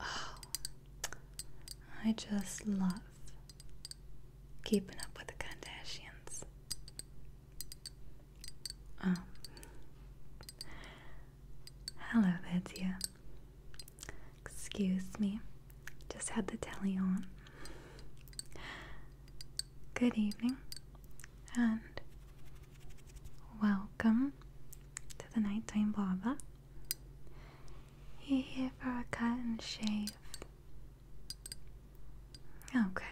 Oh, I just love keeping up with the Kardashians. Um, hello there, dear. Excuse me, just had the telly on. Good evening, and Welcome to the Nighttime Barber. you here for a cut and shave. Okay.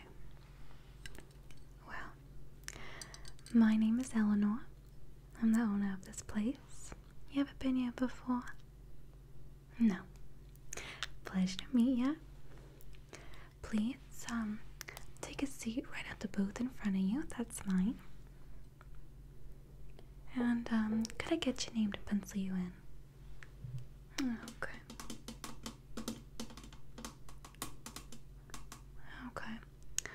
Well, my name is Eleanor. I'm the owner of this place. You ever been here before? No. Pleasure to meet you. Please, um, take a seat right at the booth in front of you. That's mine. And um, could I get your name to pencil you in? Hmm, okay. Okay.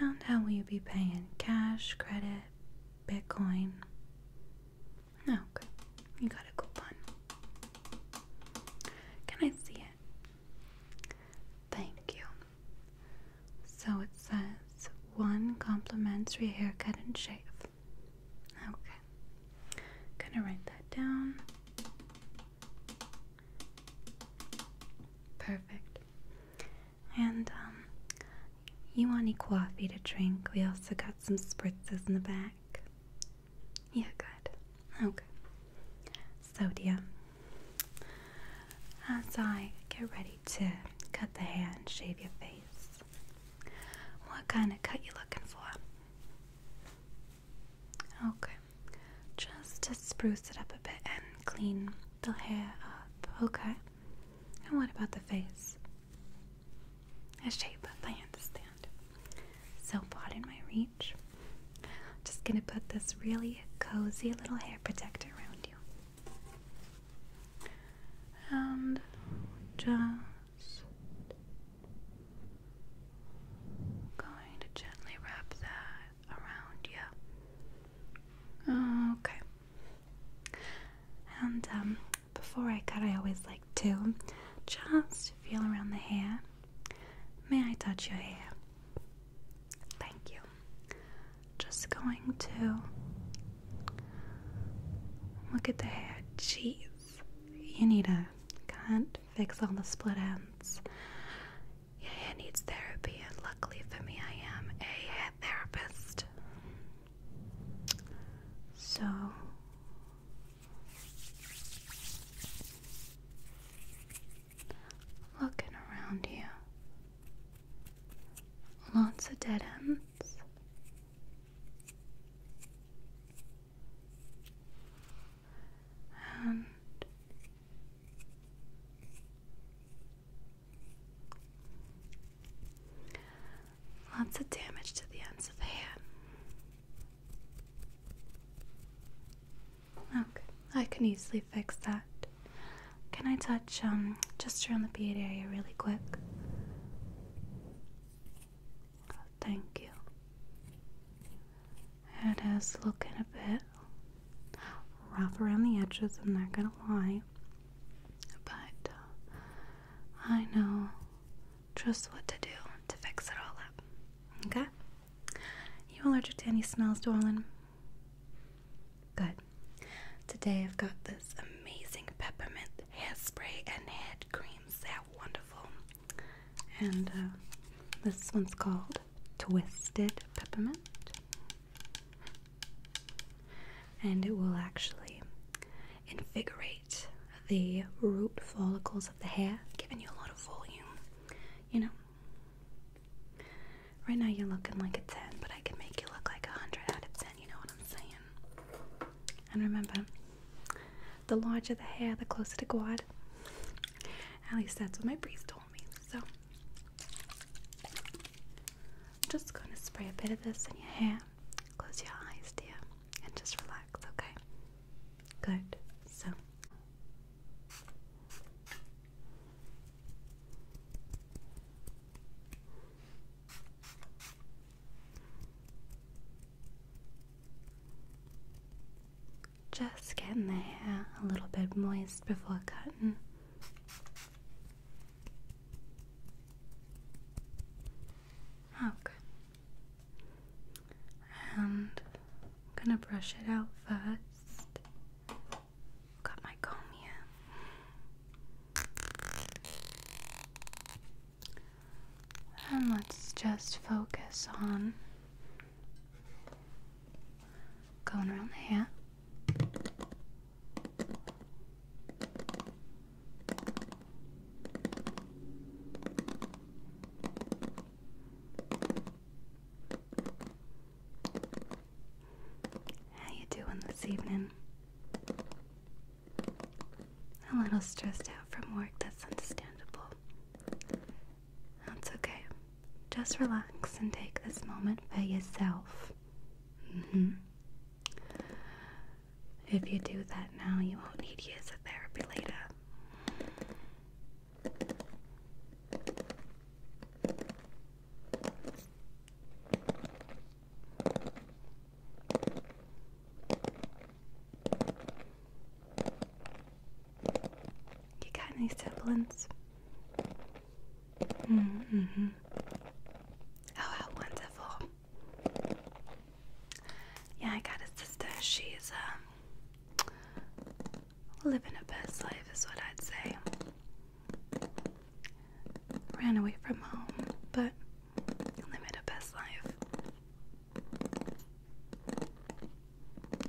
And how will you be paying? Cash, credit, Bitcoin? Okay. You got a coupon. Can I see it? Thank you. So it says one complimentary haircut and shave. Okay. Gonna write that down. Perfect. And um, you want any coffee to drink? We also got some spritzes in the back. Yeah, good. Okay. So, dear, as I get ready to cut the hair and shave your face, what kind of cut you looking for? Okay, just to spruce it up a bit and clean the hair up. Okay, and what about the face? A shape up, I understand. So, far in my reach. Just gonna put this really cozy little hair protector around you. And just going to gently wrap that around you. Okay. And um, before I cut, I always like to just feel around the hair. May I touch your hair? Thank you. Just going to look at the hair. Jeez, you need a can't fix all the split ends. Your hair needs therapy, and luckily for me, I am a hair therapist. So. Looking around you. Lots of dead ends. And lots of damage to the ends of the hand. Okay, I can easily fix that. Can I touch um just around the beard area really quick? Oh, thank you. It is looking a bit rough around the edges, I'm not gonna lie. But uh, I know just what to do to fix it all up. Okay? You allergic to any smells, darling? Good. Today I've got this amazing peppermint hair spray and head creams. They're wonderful. And uh, this one's called Twisted Peppermint. And it will actually invigorate the root follicles of the hair, giving you a lot of volume. You know, Right now you're looking like a 10, but I can make you look like a 100 out of 10, you know what I'm saying? And remember, the larger the hair, the closer to God. At least that's what my priest told me. So, I'm just gonna spray a bit of this in your hair. Close your eyes, dear, and just relax, okay? Good. So, just getting the hair a little bit moist before cutting. Okay. Oh, and I'm gonna brush it out first. Got my comb here. And let's just focus on going around the hair. How you doing this evening? A little stressed out from work, that's understandable. That's okay. Just relax and take this moment for yourself. Mm-hmm. If you do that now, you won't need years of therapy later. You got any siblings? Mm hmm. Oh, how wonderful. Yeah, I got a sister. She's um, living a best life, is what I'd say ran away from home, but lived a best life.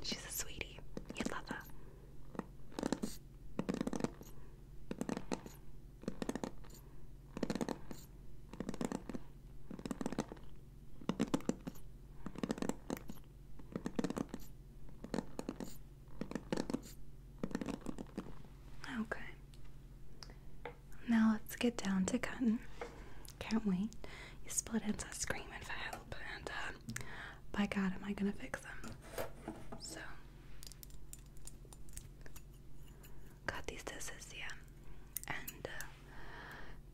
She's a sweetie. you love her. Okay. Now let's get down to cutting. Can't wait. You split ends are screaming for help, and um, by God, am I gonna fix them? So, got these disses here, and uh,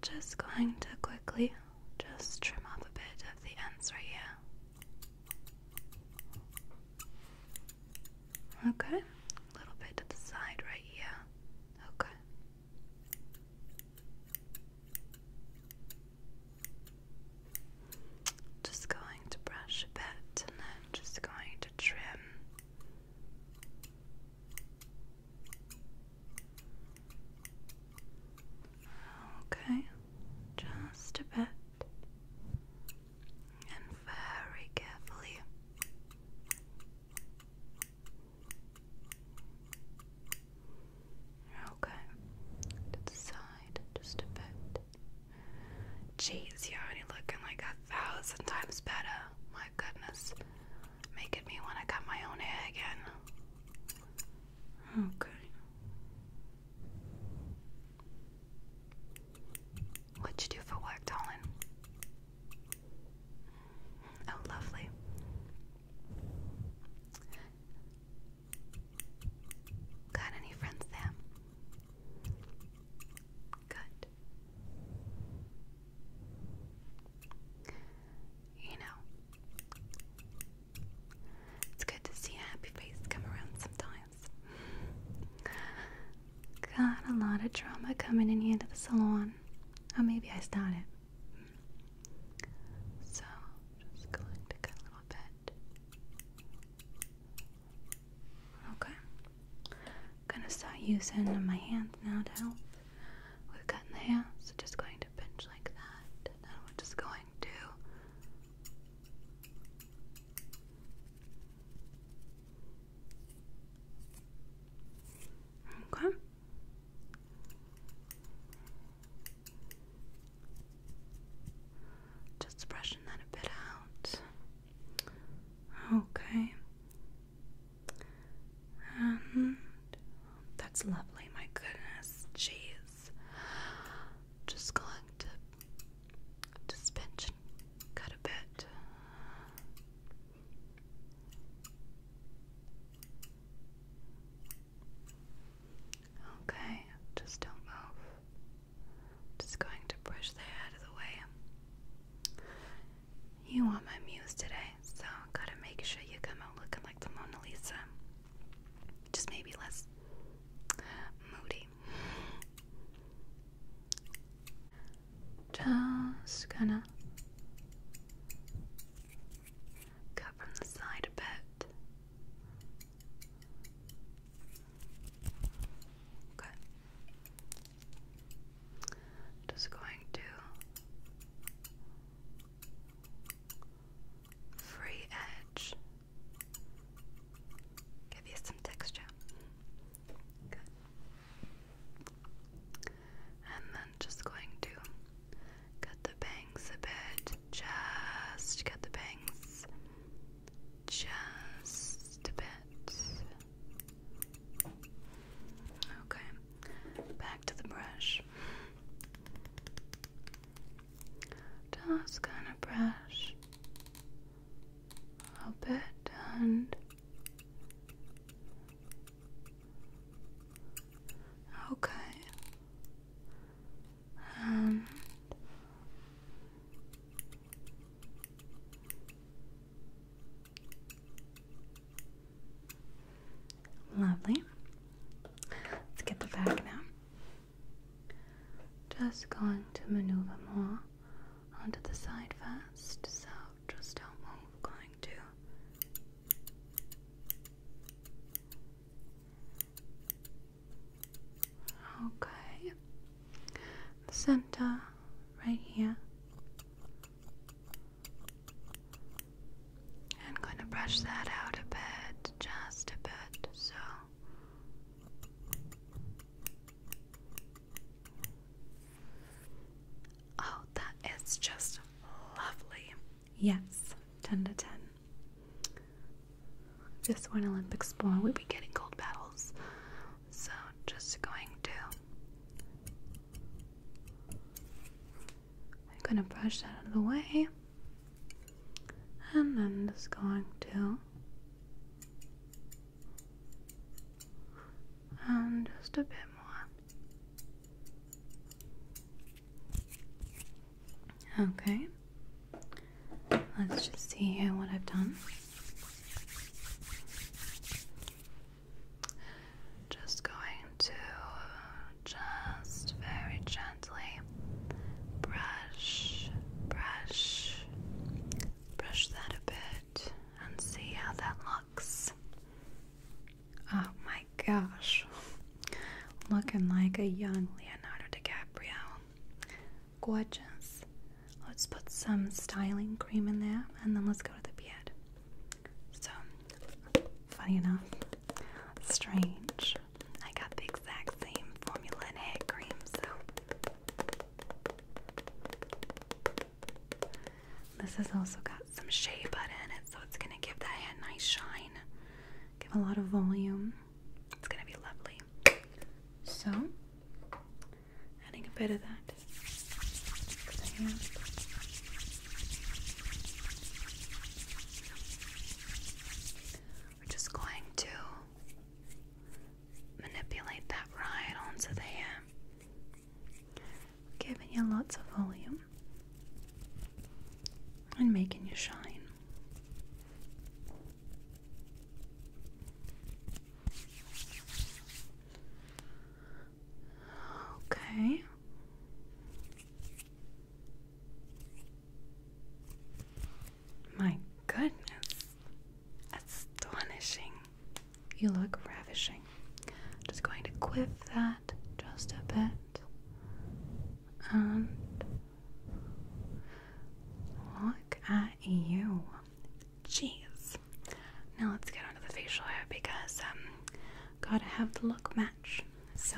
just going to quickly just trim off a bit of the ends right here. Okay, a little bit to the side right here. Okay. Just going to brush a bit and then just going to trim. Okay, just a bit, and very carefully. Okay, to the side, just a bit. Jeez, you're already looking like a thousand times better. My goodness, making me want to cut my own hair again. Okay. What'd you do for work, darling? Oh, lovely. Got any friends there? Good. You know, it's good to see happy face come around sometimes. Got a lot of drama coming in here to the salon. Or maybe I started. So, just going to cut a little bit. Okay. I'm gonna start using my hands now to help with cutting the hair. So, just going to pinch like that. And we're just going to Okay. Just brushing that a bit out. Okay. And that's lovely, my goodness. Jeez. Just going to just pinch cut a bit. Okay, just don't move. Just going to brush that out of the way. You want my muse today, so gotta make sure you come out looking like the Mona Lisa. Just maybe less moody. Just gonna cut from the side a bit. Okay. Just going to free edge. Give you some texture. Good. And then just going to cut the bangs a bit. Just cut the bangs just a bit. Okay. Back to the brush. Just gonna brush a bit and okay, and lovely. Let's get the bag now. Just going to maneuver more onto the side first, so just don't move. Going to Okay. center right here. I'm going to brush that out a bit, just a bit, so Oh, that is just lovely. Yes, 10 to 10. Just one Olympic sport. We've be getting gold medals. So, just going to. I'm gonna brush that out of the way and then just going to and just a bit more. Okay, let's just see here what I've done. Just going to just very gentle brush, brush, brush that a bit and see how that looks. Oh my gosh, looking like a young Leonardo DiCaprio. Gorgeous. Let's put some styling cream in there and then let's go to the beard. So, funny enough, strange I got the exact same formula and head cream, so this has also got some shea butter in it, so it's gonna give that hair a nice shine, give a lot of volume. It's gonna be lovely. So, adding a bit of that. We're just going to manipulate that right onto the hair, giving you lots of volume and making you shine. Okay. My goodness, astonishing. You look ravishing. just going to quiff that just a bit and look at you. Jeez. Now let's get onto the facial hair because um gotta have the look match. So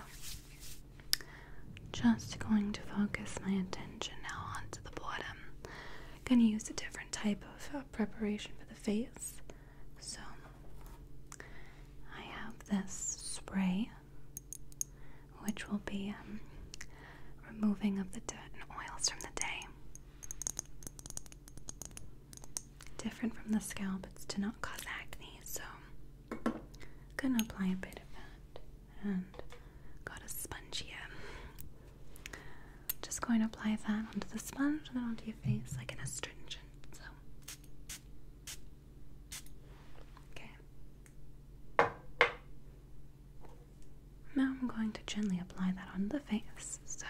just going to focus my attention now onto the bottom. Gonna use a different type of uh, preparation for the face. So I have this spray, which will be um, removing of the dirt and oils from the day. Different from the scalp, it's to not cause acne. So gonna apply a bit of that and got a sponge here. Just going to apply that onto the sponge then onto your face like an astringent. So, okay. Now I'm going to gently apply that on the face. So.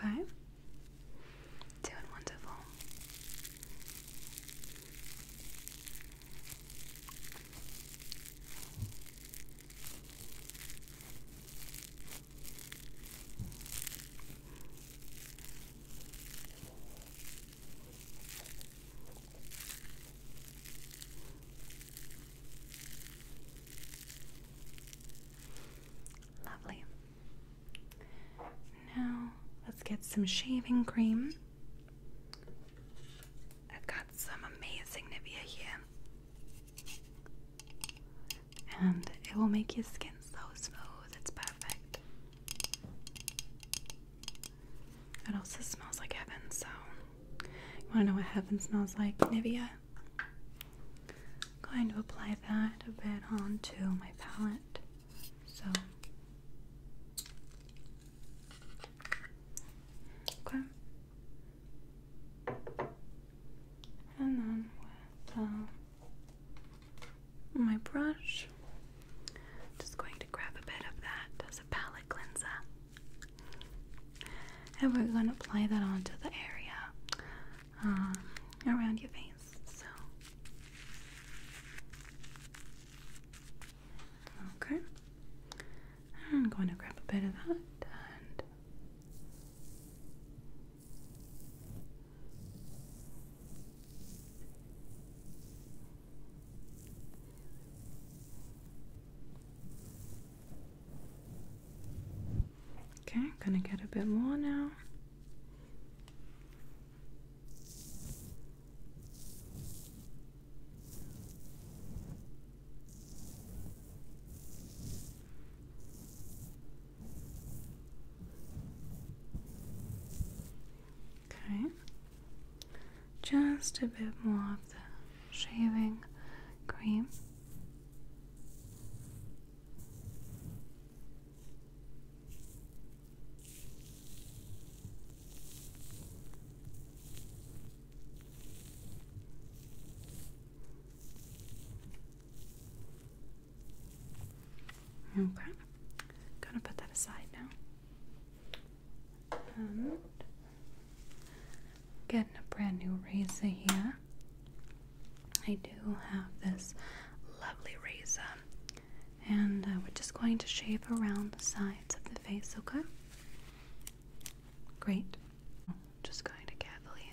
Okay. Doing wonderful. Lovely. Now let's get some shaving cream. I've got some amazing Nivea here. And it will make your skin so smooth, it's perfect. It also smells like heaven, so you want to know what heaven smells like? Nivea. I'm going to apply that a bit onto my palette. So, okay. And then with the my brush. Just going to grab a bit of that as a palette cleanser. And we're going to apply that onto the area um, around your face. So, okay. I'm going to grab a bit of that and Okay, I'm gonna get a bit more now. Okay. Just a bit more of the shaving cream. Okay, gonna put that aside now. And getting a brand new razor here. I do have this lovely razor, and uh, we're just going to shave around the sides of the face, okay? Great. Just going to carefully.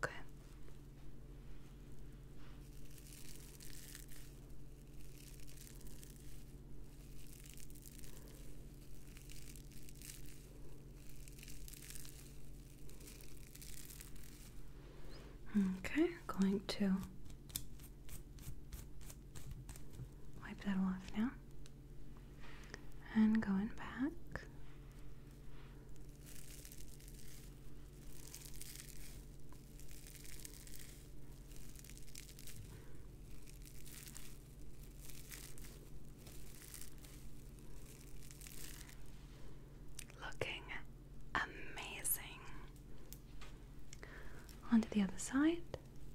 Okay. Okay, going to wipe that off now and going back. Looking amazing. Onto the other side.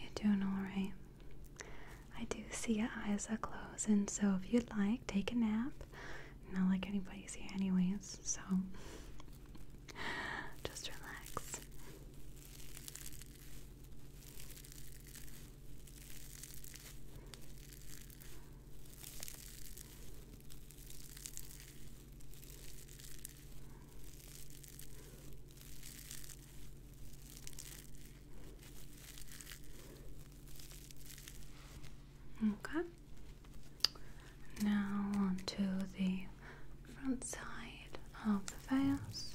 you doing all right. I do see your eyes are closing, so if you'd like, take a nap. Not like anybody's here, anyways, so just relax. Okay. Now onto the front side of the face.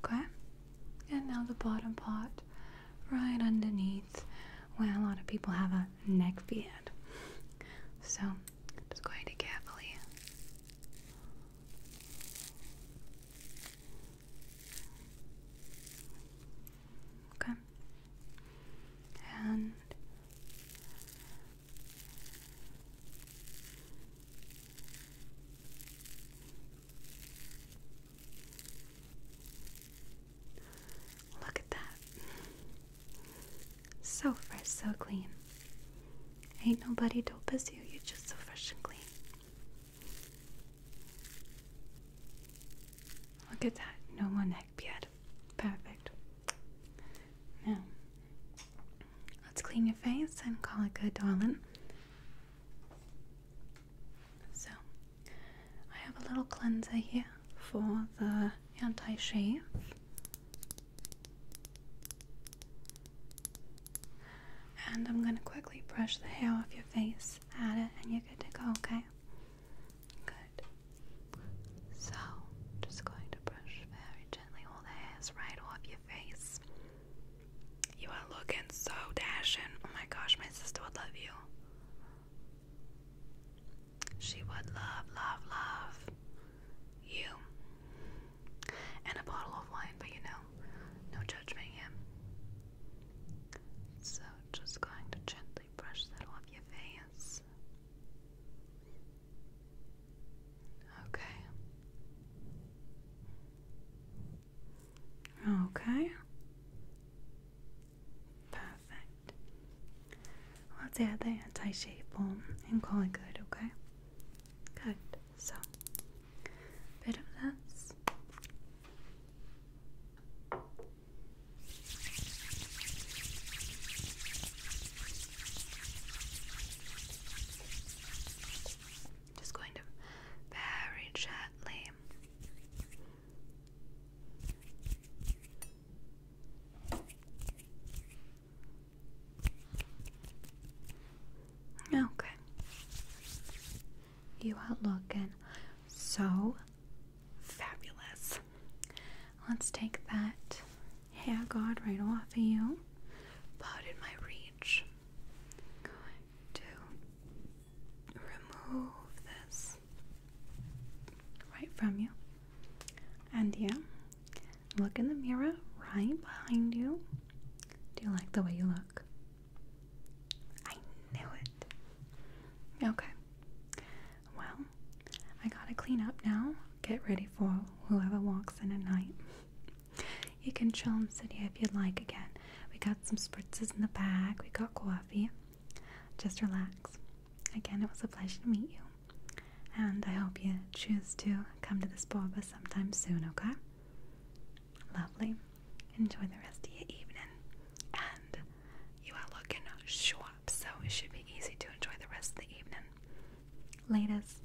Okay, and now the bottom part right underneath where a lot of people have a neck beard. So just going to carefully. Okay. And Look at that. So fresh, so clean. Ain't nobody dope as you, you're just so fresh and clean. Look at that, no more neck beard. Perfect. Now, let's clean your face and call it good, darling. So, I have a little cleanser here for the anti shave. And I'm going to quickly brush the hair off your face, add it, and you're good to go, okay? Good. So, just going to brush very gently all the hairs right off your face. You are looking so dashing. Oh my gosh, my sister would love you. She would love, love, love you. And a bottle of wine, but you know, no judgment here. So just going to gently brush that off your face. Okay. Okay. Perfect. Let's add the anti shape shaple and call it good, okay? Good. So, bit of this. Just going to very gently Okay. You are looking so fabulous. Let's take that hair god right off of you. Pardon my reading going to remove this right from you. And yeah, look in the mirror right behind you. Do you like the way you look? I knew it. Okay. Well, I gotta clean up now. Get ready for whoever walks in at night. You can chill in City if you'd like again. We got some spritzes in the back, we got coffee. Just relax. Again, it was a pleasure to meet you. And I hope you choose to come to this boba sometime soon, okay? Lovely. Enjoy the rest of your evening. And you are looking sharp, so it should be easy to enjoy the rest of the evening. Latest.